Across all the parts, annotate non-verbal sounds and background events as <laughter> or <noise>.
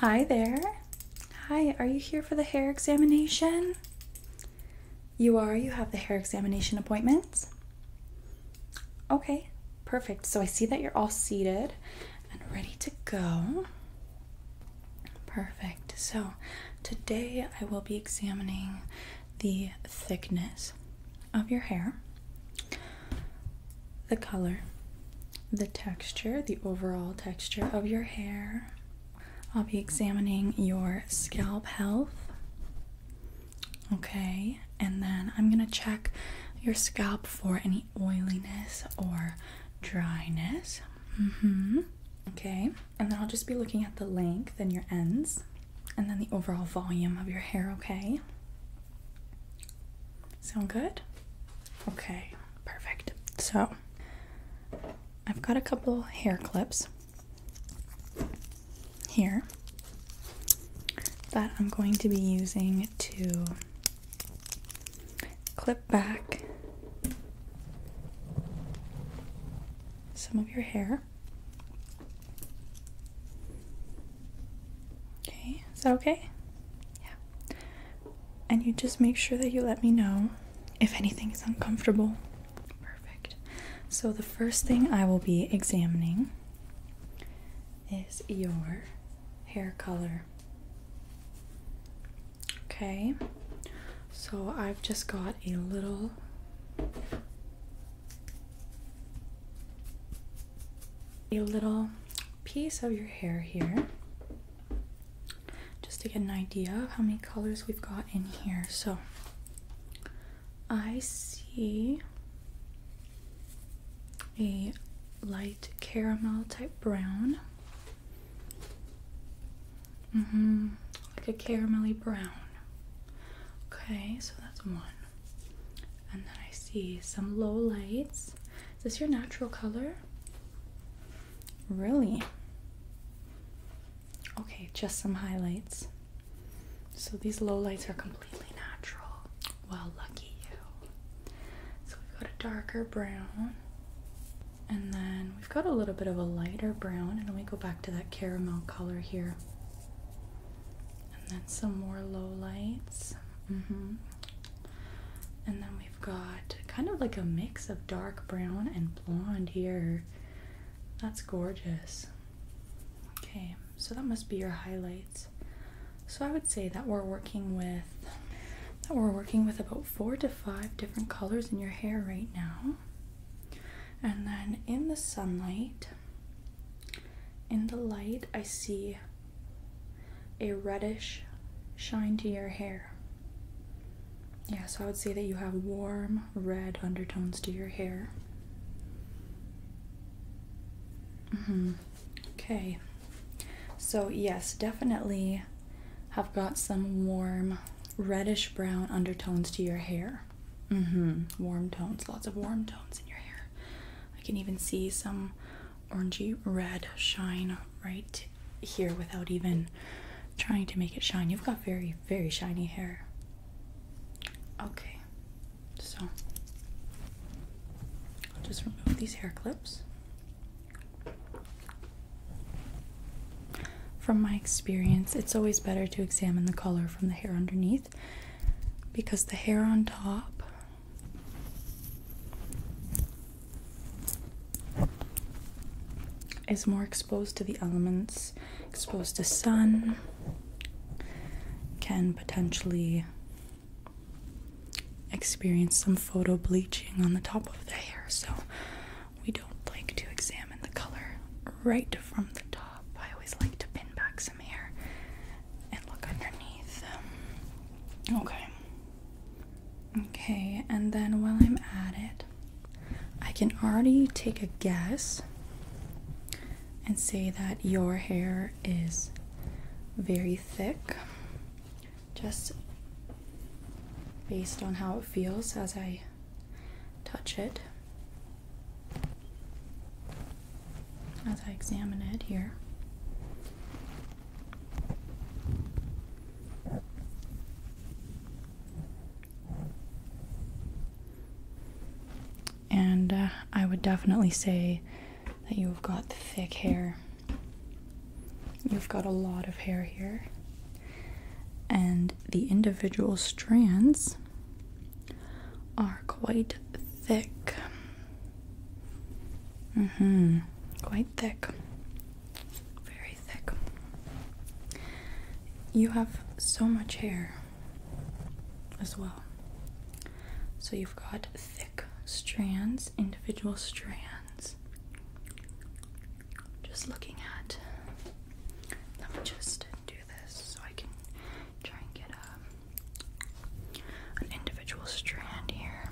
Hi there. Hi, are you here for the hair examination? You are, you have the hair examination appointment. Okay, perfect. So I see that you're all seated and ready to go. Perfect. So today I will be examining the thickness of your hair the color, the texture, the overall texture of your hair. I'll be examining your scalp health. Okay, and then I'm gonna check your scalp for any oiliness or dryness. Mm-hmm. Okay, and then I'll just be looking at the length and your ends and then the overall volume of your hair, okay? Sound good? Okay, perfect. So I've got a couple hair clips here that I'm going to be using to clip back some of your hair. Okay, is that okay? Yeah, and you just make sure that you let me know if anything is uncomfortable. Perfect. So, the first thing I will be examining is your hair color. Okay, so I've just got a little. A little piece of your hair here just to get an idea of how many colors we've got in here. So I see a light caramel type brown. Mm-hmm, like a caramelly brown. Okay, so that's one. And then I see some low lights is this your natural color? Really? Okay, just some highlights. So these low lights are completely natural. Well, lucky you. So we've got a darker brown, and then we've got a little bit of a lighter brown, and then we go back to that caramel color here. And then some more low lights. Mm-hmm. And then we've got kind of like a mix of dark brown and blonde here. That's gorgeous. Okay, so that must be your highlights. So I would say that we're working with that we're working with about four to five different colors in your hair right now. And then in the sunlight, in the light, I see a reddish shine to your hair. Yeah, so I would say that you have warm red undertones to your hair. Mm hmm Okay. So, yes, definitely have got some warm reddish brown undertones to your hair. Mm hmm Warm tones, lots of warm tones in your hair. I can even see some orangey red shine right here without even trying to make it shine. You've got very, very shiny hair. Okay, so I'll just remove these hair clips. From my experience, it's always better to examine the color from the hair underneath because the hair on top is more exposed to the elements, exposed to sun, can potentially experience some photo bleaching on the top of the hair. So we don't like to examine the color right from the top. I always like to pin back some some and look underneath. Okay. Okay, and then while I'm at it, I can already take a guess and say that your hair is very thick just based on how it feels as I touch it as I examine it here. And uh, I would definitely say that you've got thick hair. You've got a lot of hair here. And the individual strands are quite thick. Mm-hmm. Quite thick. Very thick. You have so much hair as well. So you've got thick strands, individual strands. Just looking at. Let me just do this so I can try and get a an individual strand here.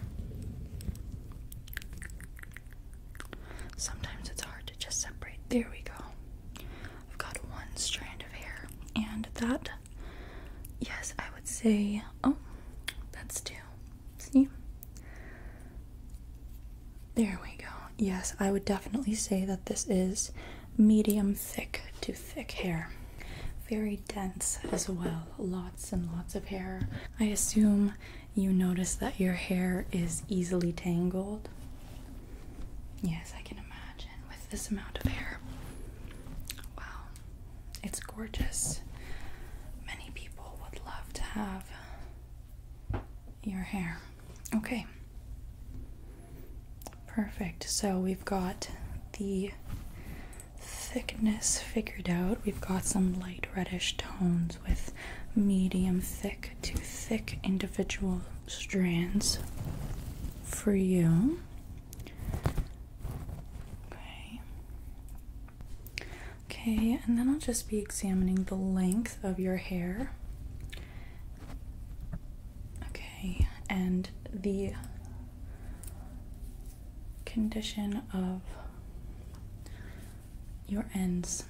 Sometimes it's hard to just separate. There we go. I've got one strand of hair, and that, yes, I would say, oh, that's two. See? There we go. Yes, I would definitely say that this is medium thick to thick hair. Very dense as well. Lots and lots of hair. I assume you notice that your hair is easily tangled. Yes, I can imagine with this amount of hair. Wow, it's gorgeous. Many people would love to have your hair. Okay. Perfect. So we've got the thickness figured out. We've got some light reddish tones with medium thick to thick individual strands for you. Okay. Okay, and then I'll just be examining the length of your hair. Okay, and the condition of your ends.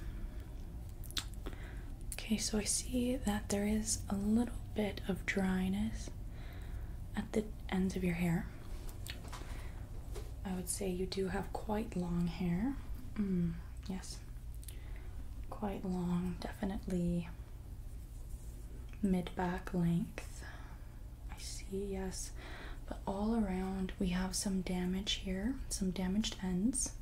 Okay, so I see that there is a little bit of dryness at the ends of your hair. I would say you do have quite long hair. Mm, yes, quite long, definitely mid back length. I see, yes. But all around, we have some damage here, some damaged ends.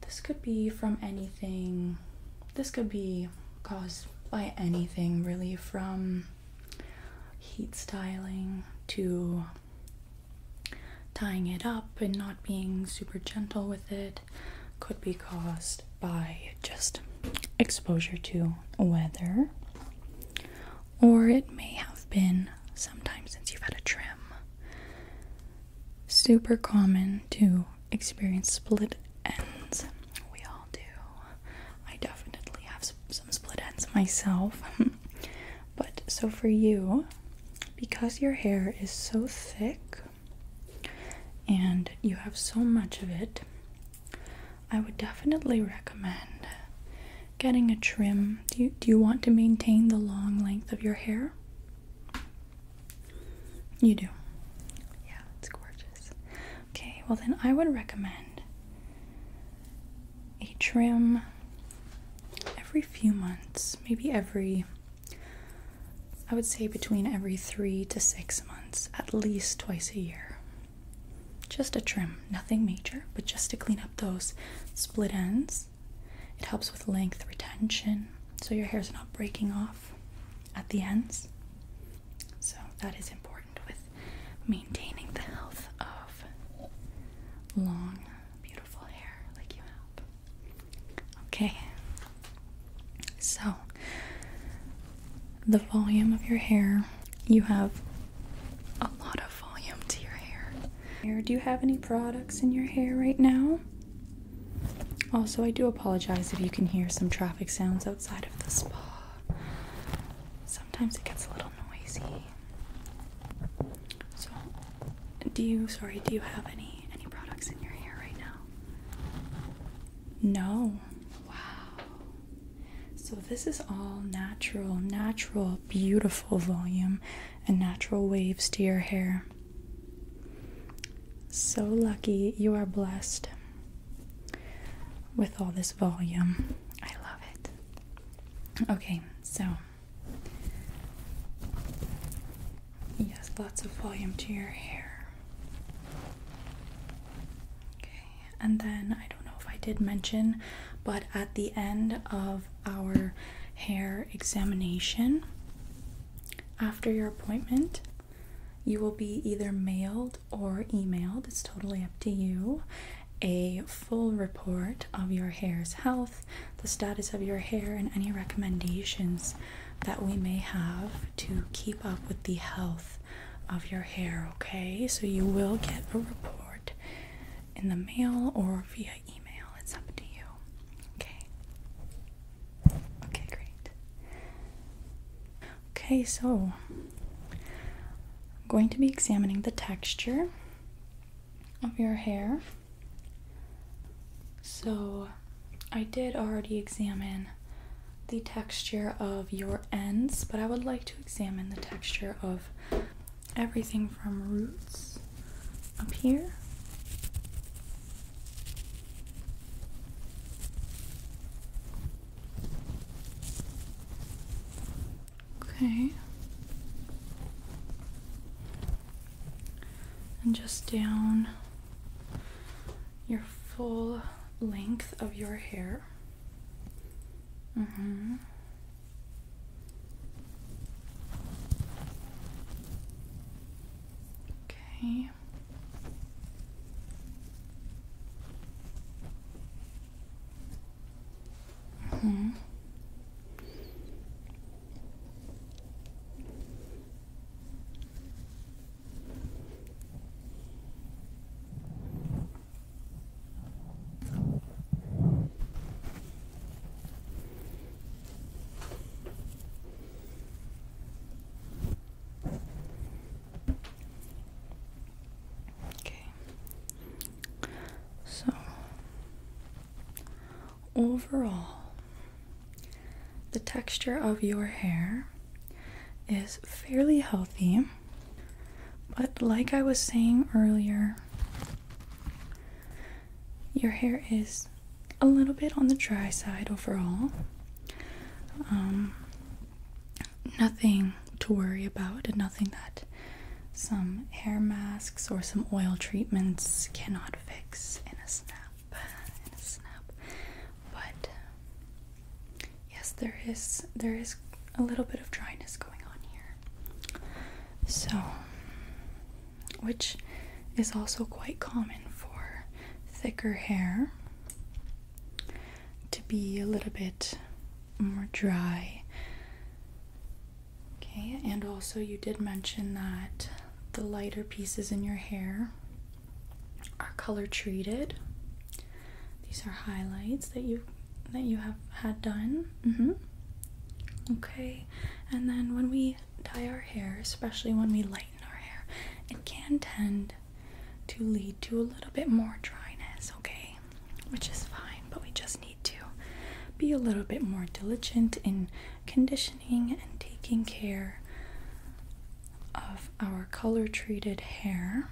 This could be from anything, this could be caused by anything really, from heat styling to tying it up and not being super gentle with it, could be caused by just exposure to weather, or it may have been sometime since you've had a trim. Super common to experience split ends. We all do. I definitely have some split ends myself. <laughs> but so for you, because your hair is so thick and you have so much of it, I would definitely recommend getting a trim. Do you, do you want to maintain the long length of your hair? You do. Yeah, it's gorgeous. Okay, well, then I would recommend a trim every few months, maybe every, I would say between every three to six months, at least twice a year. Just a trim, nothing major, but just to clean up those split ends. It helps with length retention, so your hair's not breaking off at the ends. So, that is important with maintaining the health of long, beautiful hair like you have. Okay, so, the volume of your hair, you have a lot of volume to your hair. Hair, do you have any products in your hair right now? Also, I do apologize if you can hear some traffic sounds outside of the spa. Sometimes it gets a little noisy. So, do you sorry, do you have any any products in your hair right now? No. Wow. So, this is all natural, natural, beautiful volume and natural waves to your hair. So lucky you are blessed with all this volume. I love it. Okay, so yes, lots of volume to your hair. Okay, and then I don't know if I did mention, but at the end of our hair examination, after your appointment, you will be either mailed or emailed, it's totally up to you, a full report of your hair's health, the status of your hair, and any recommendations that we may have to keep up with the health of your hair, okay? So you will get a report in the mail or via email. It's up to you, okay? Okay, great. Okay, so I'm going to be examining the texture of your hair. So I did already examine the texture of your ends, but I would like to examine the texture of everything from roots up here okay and just down your full length of your hair. Mm-hmm. Okay. -hmm. Okay. So overall, the texture of your hair is fairly healthy, but like I was saying earlier, your hair is a little bit on the dry side overall. Um, nothing to worry about, and nothing that some hair masks or some oil treatments cannot fix in a snap. In a snap, but Yes, there is there is a little bit of dryness going on here. So which is also quite common for thicker hair to be a little bit more dry. Okay, and also you did mention that the lighter pieces in your hair are color treated. These are highlights that you that you have had done. Mm-hmm. Okay, and then when we dye our hair, especially when we lighten our hair, it can tend to lead to a little bit more dryness, okay? Which is fine, but we just need to be a little bit more diligent in conditioning and taking care of our color treated hair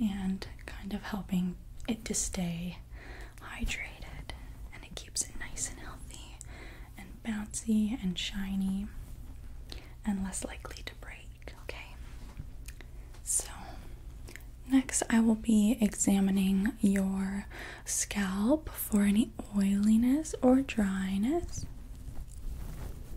and kind of helping it to stay hydrated and it keeps it nice and healthy and bouncy and shiny and less likely to break. Okay, so next I will be examining your scalp for any oiliness or dryness.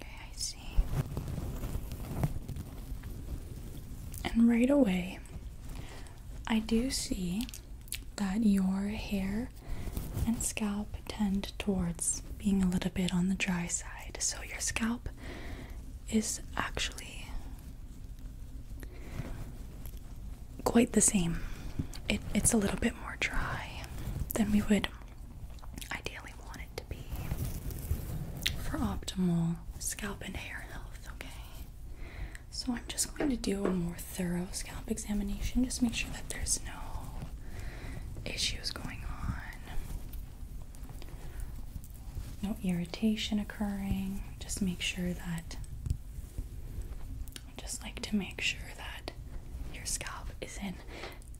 Okay, I see. And right away, I do see that your hair and scalp tend towards being a little bit on the dry side. So your scalp is actually quite the same. it's a little bit more dry than we would ideally want it to be for optimal scalp and hair health, okay? So I'm just going to do a more thorough scalp examination, just make sure that there's no issues going on, no irritation occurring. Just make sure that I just like to make sure that your scalp is in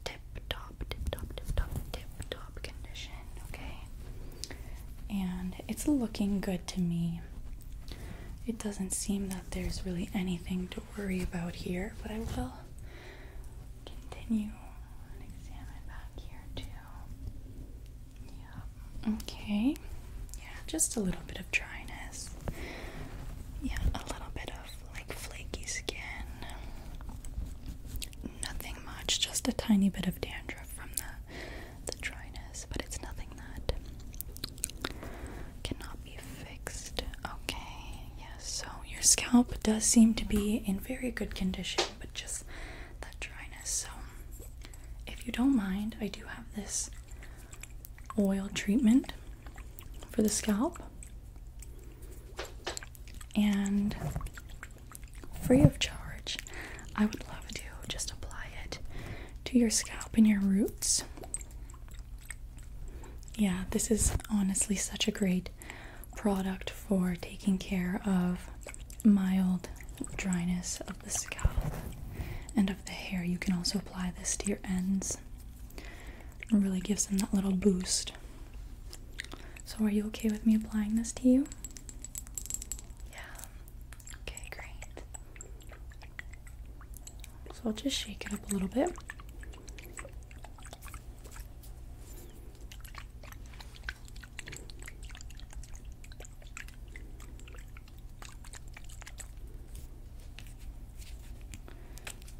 tip top, tip top, tip top, tip top condition, okay? And it's looking good to me. It doesn't seem that there's really anything to worry about here, but I will continue and examine back here too. Yeah. Okay. Yeah, just a little bit of dryness. Yeah, a little bit of like flaky skin. Nothing much, just a tiny bit of dandruff from the the dryness, but it's nothing that cannot be fixed. Okay, yes. So your scalp does seem to be in very good condition, but just that dryness. So if you don't mind, I do have this oil treatment for the scalp and free of charge. I would love to just apply it to your scalp and your roots. Yeah, this is honestly such a great product for taking care of mild dryness of the scalp and of the hair. You can also apply this to your ends really gives them that little boost. So, are you okay with me applying this to you? Yeah. Okay, great. So, I'll just shake it up a little bit.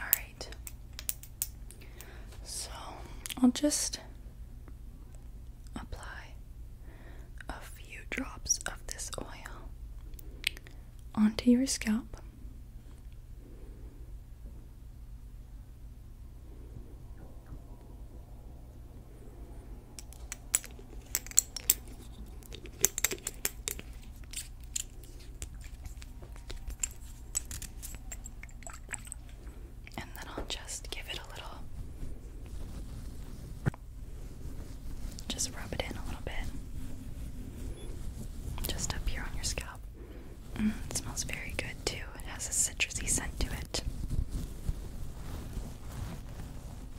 Alright. So I'll just apply a few drops of this oil onto your scalp. And then I'll just give it a little, just rub it in a little bit, just up here on your scalp. Mm, it smells very good too, it has a citrusy scent to it.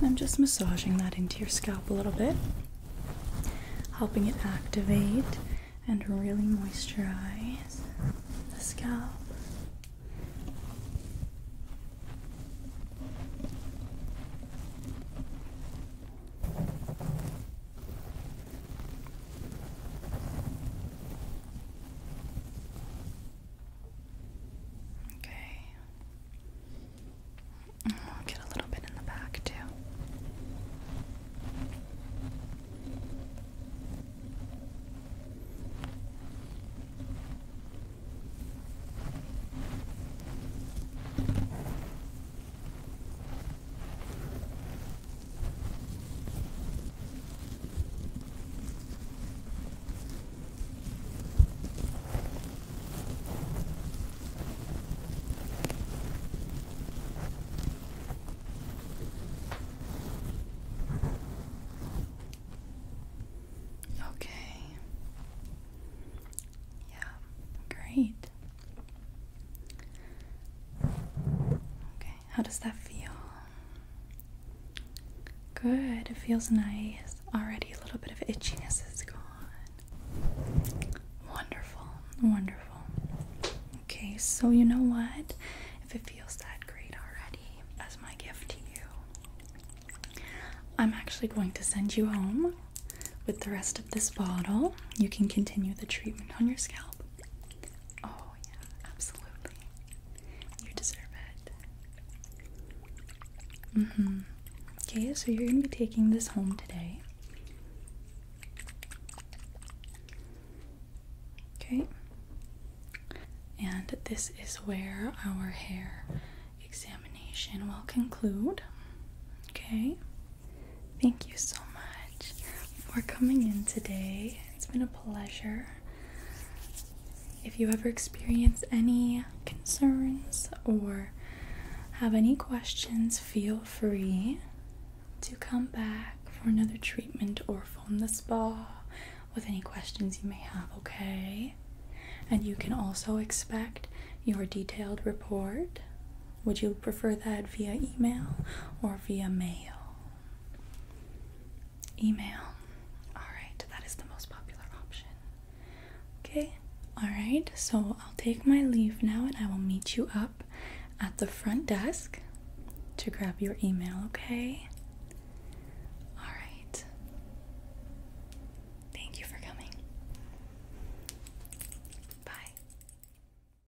And I'm just massaging that into your scalp a little bit, helping it activate and really moisturize the scalp. Okay. I'll get a little bit in the back too. Okay. Yeah, great. Okay how does that feel? Good, it feels nice. Already a little bit of itchiness is gone. Wonderful, wonderful. Okay, so you know what? If it feels that great already, as my gift to you, I'm actually going to send you home with the rest of this bottle. You can continue the treatment on your scalp. Oh, yeah, absolutely. You deserve it. Mm-hmm. Okay, so you're going to be taking this home today. Okay. And this is where our hair examination will conclude. Okay. Thank you so much for coming in today. It's been a pleasure. If you ever experience any concerns or have any questions, feel free to come back for another treatment or phone the spa with any questions you may have, okay? And you can also expect your detailed report would you prefer that via email or via mail? Email. Alright, that is the most popular option. Okay, alright, so I'll take my leave now and I will meet you up at the front desk to grab your email, okay? Alright. Thank you for coming. Bye.